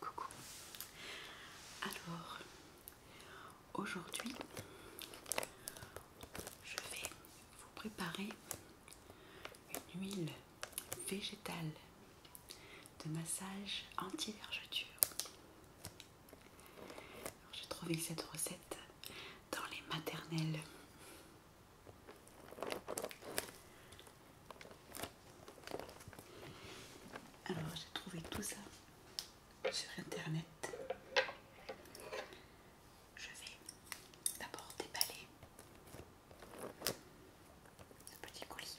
Coucou. Alors, aujourd'hui, je vais vous préparer une huile végétale de massage anti-vergeture. J'ai trouvé cette recette dans les maternelles. Alors j'ai trouvé tout ça sur internet. Je vais d'abord déballer ce petit colis.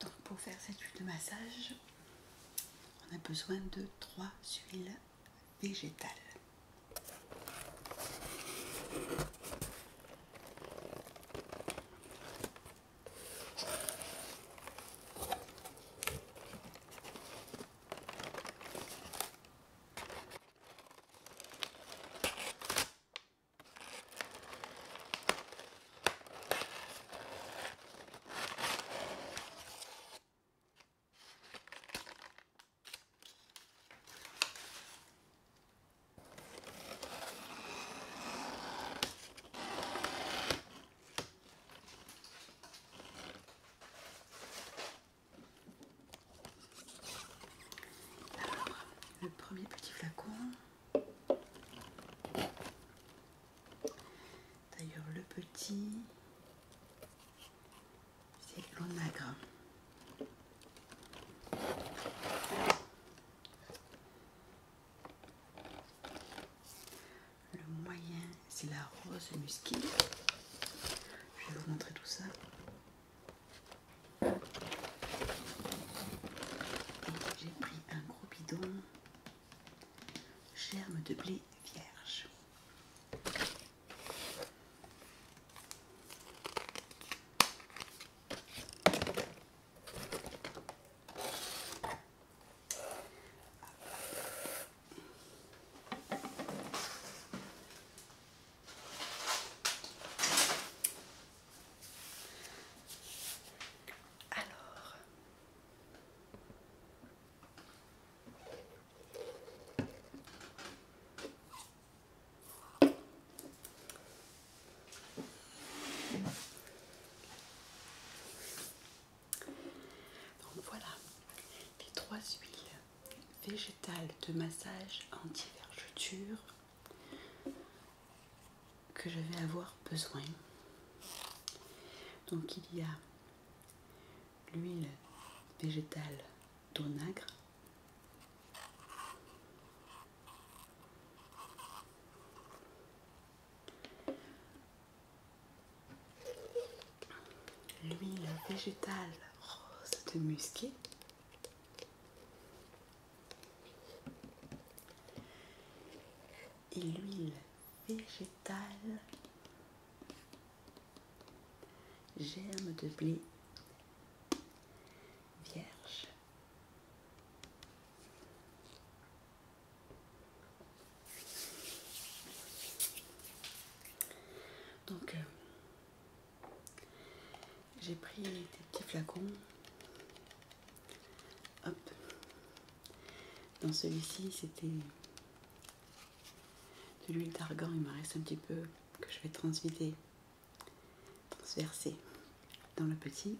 Donc pour faire cette huile de massage, on a besoin de trois huiles végétal le premier petit flacon. D'ailleurs, le petit, c'est l'onagra. Le moyen, c'est la rose musquée. Je vais vous montrer tout ça. J'ai pris un gros bidon germe de blé vierge. Alors, donc voilà les trois huiles végétales de massage anti-vergeture que je vais avoir besoin. Donc il y a l'huile végétale d'onagre. L'huile végétale rose de musquée. Et l'huile végétale germe de blé vierge. Donc, euh, j'ai pris des petits flacons. Hop. Dans celui-ci, c'était de l'huile d'argan, il me reste un petit peu que je vais transvider, transverser dans le petit.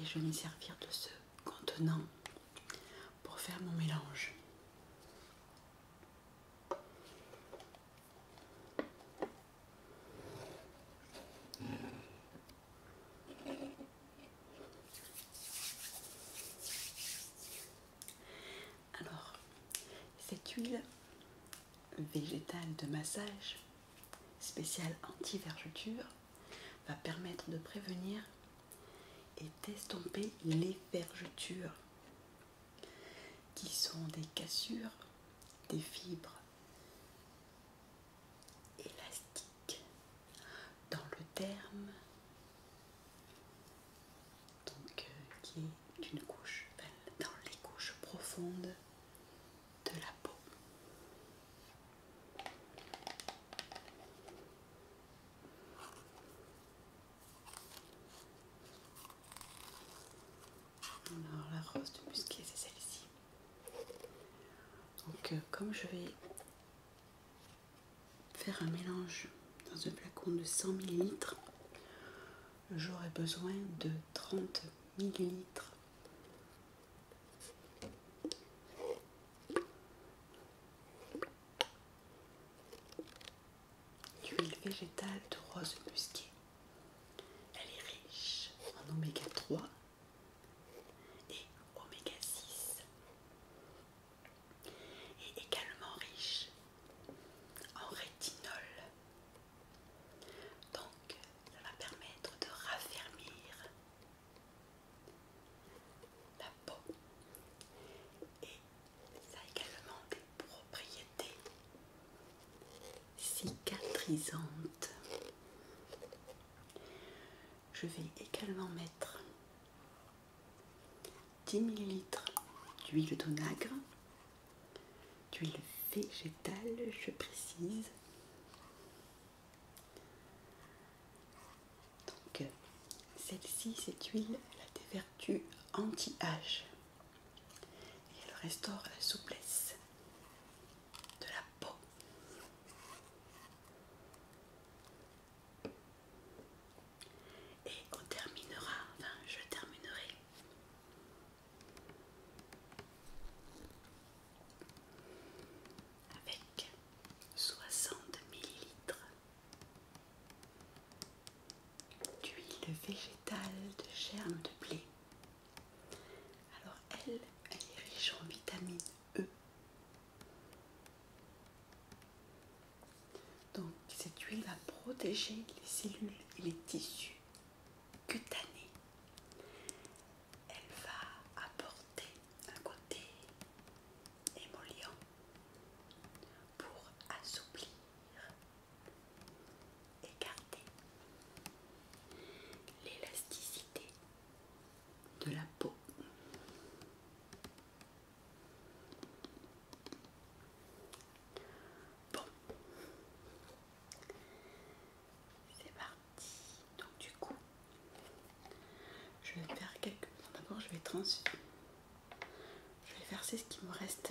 Et je vais m'y servir de ce contenant pour faire mon mélange. Alors, cette huile végétale de massage spéciale anti-vergeture va permettre de prévenir et d'estomper les vergetures qui sont des cassures des fibres élastiques dans le terme, donc euh, qui est une couche, dans les couches profondes de la peau. Alors la rose de musquée c'est celle-ci. Donc euh, comme je vais faire un mélange dans un flacon de 100 ml, j'aurai besoin de 30 ml d'huile végétale de rose musquée. Elle est riche en oméga 3 et oméga 6 et également riche en rétinol. Donc ça va permettre de raffermir la peau et ça a également des propriétés cicatrisantes. Je vais également mettre 10 ml d'huile d'onagre, d'huile végétale, je précise. Donc, celle-ci, cette huile, elle a des vertus anti-âge et elle restaure la souplesse de la peau. Et on terminera, enfin je terminerai avec 60 ml d'huile végétale de germe de blé. Alors elle, elle est riche en vitamines E. Donc cette huile va protéger les cellules et les tissus cutanés. Elle va apporter un côté émollient pour assouplir, garder l'élasticité de la peau. Bon, c'est parti. Donc du coup, je vais faire quelques... D'abord, je vais trans... Je vais verser ce qui me reste.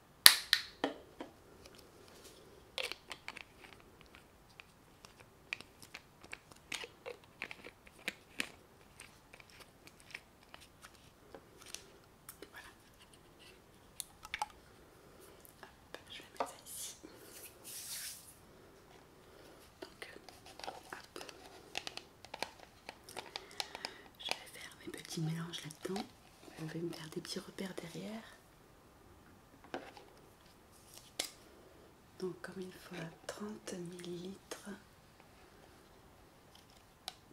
Voilà. je vais mettre ça ici. Je vais faire mes petits mélanges là-dedans. Je vais me faire des petits repères derrière donc comme il faut, 30 ml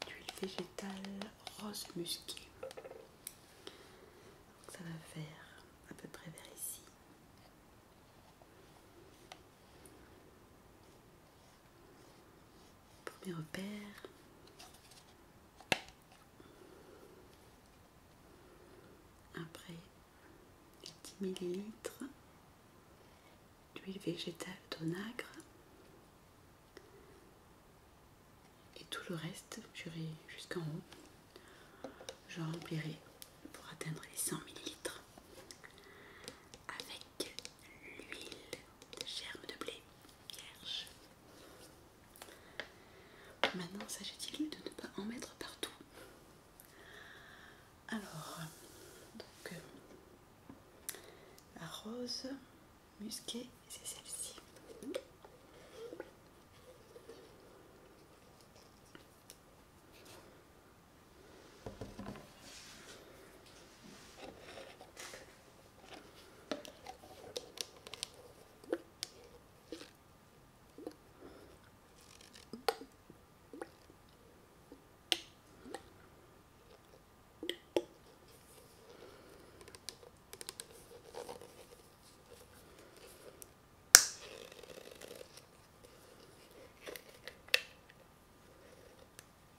d'huile végétale rose musquée ça va faire à peu près vers ici premier repère après, 10 ml d'huile végétale d'onagre. Et tout le reste, j'irai jusqu'en haut. Je remplirai pour atteindre les 100 ml avec l'huile de germe de blé vierge. Maintenant, s'agit-il de ne pas en mettre partout Alors, donc, euh, la rose musquée, c'est celle-ci.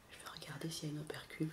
Je vais regarder s'il y a une opercule.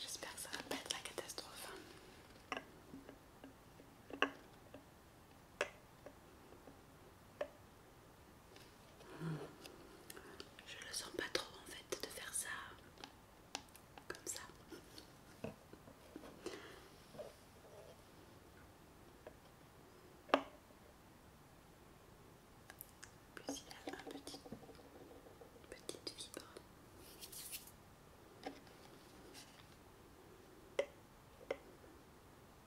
j'espère que ça va pas être la catastrophe. Je le sens pas trop en fait de faire ça comme ça. Puis il a un petit, une petite vibre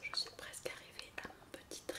Alors je suis presque arrivée à mon petit trait.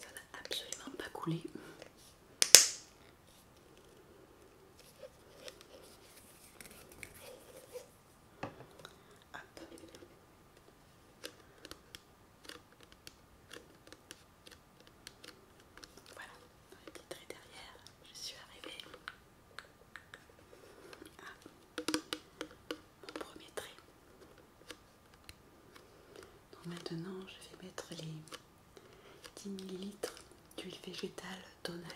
Ça n'a absolument pas coulé. Voilà, un petit trait derrière, je suis arrivée. Ah. mon premier maintenant, je vais mettre les 10 ml d'huile végétale d'onagre.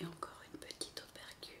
Il y a encore une petite opercule.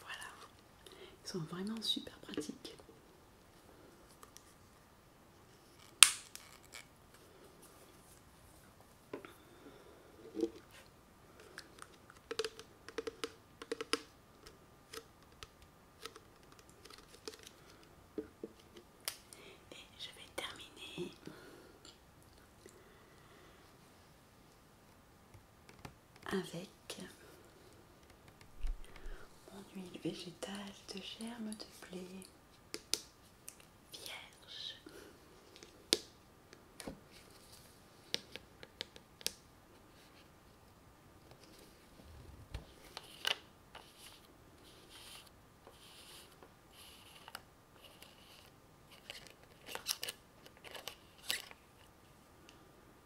Voilà, ils sont vraiment super pratiques. Et je vais terminer avec mon huile végétale de germe de blé vierge.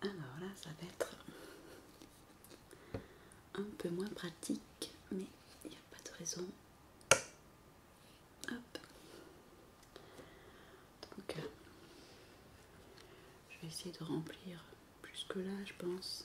Alors là, ça va être un peu moins pratique, mais il n'y a pas de raison. Hop. Donc, euh, je vais essayer de remplir plus que là, je pense.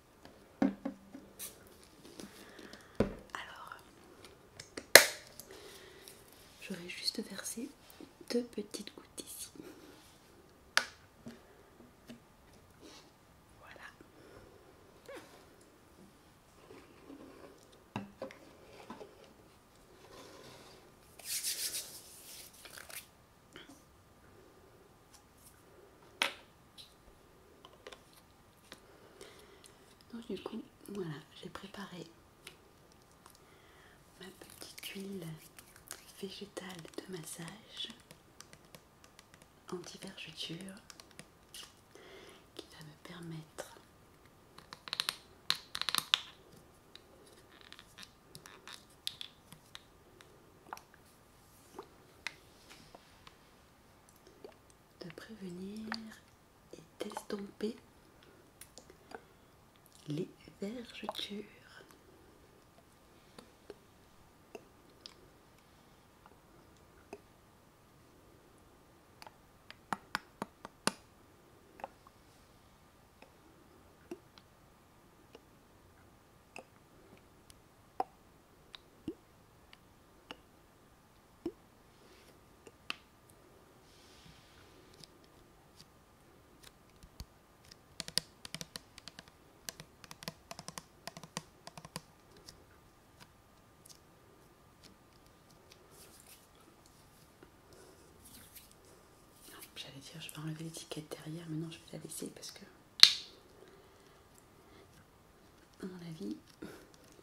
Alors, j'aurais juste versé deux petites gouttes ici. Voilà. Donc du coup, voilà, j'ai préparé ma petite huile végétale de massage anti-vergeture qui va me permettre de prévenir et d'estomper les vergetures. J'allais dire, je vais enlever l'étiquette derrière, mais non, je vais la laisser parce que à mon avis,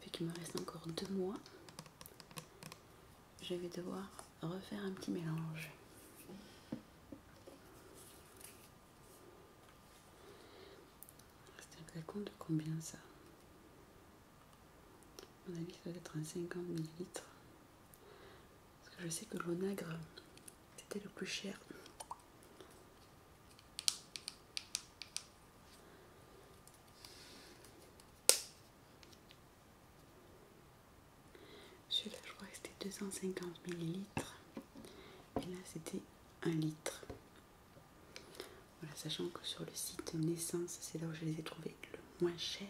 vu qu'il me reste encore deux mois, je vais devoir refaire un petit mélange. C'est compte de combien ça mon avis, ça doit être un 50 ml. Parce que je sais que l'onagre, c'était le plus cher. Celui-là, je crois que c'était 250 ml. Et là, c'était 1 litre. Voilà, sachant que sur le site Naissance, c'est là où je les ai trouvés le moins cher.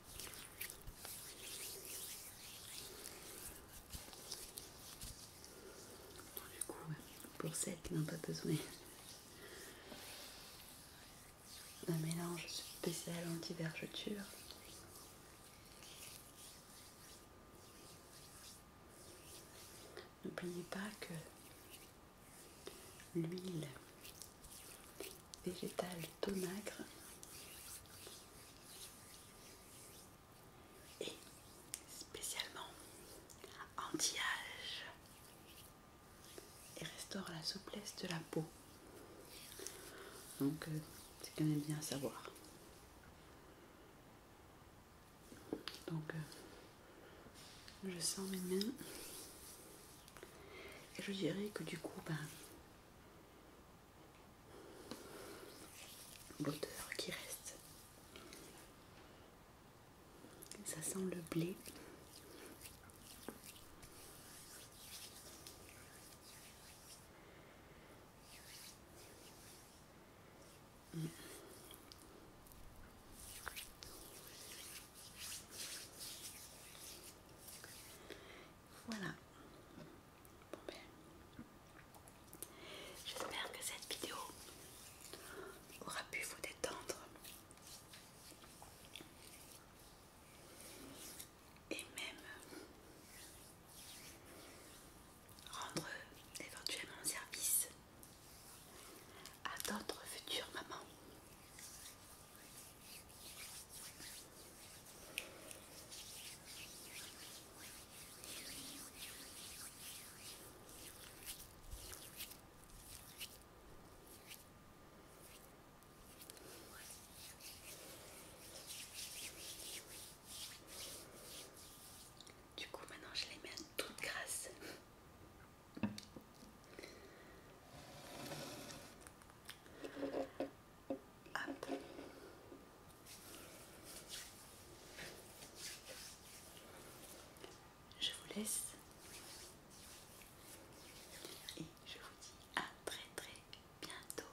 Du coup, pour celles qui n'ont pas besoin d'un mélange spécial anti-vergeture, n'oubliez pas que l'huile végétale tomacre et spécialement anti-âge et restaure la souplesse de la peau. Donc euh, c'est quand même bien à savoir. Donc euh, je sens mes mains et je dirais que du coup ben l'odeur qui reste. Ça sent le blé. Voilà. Ben, j'espère que cette vidéo aura pu vous détendre. Et même rendre éventuellement service à d'autres futures mamans. Du coup, maintenant je les mets toutes grasses. Je vous laisse et je vous dis à très très bientôt.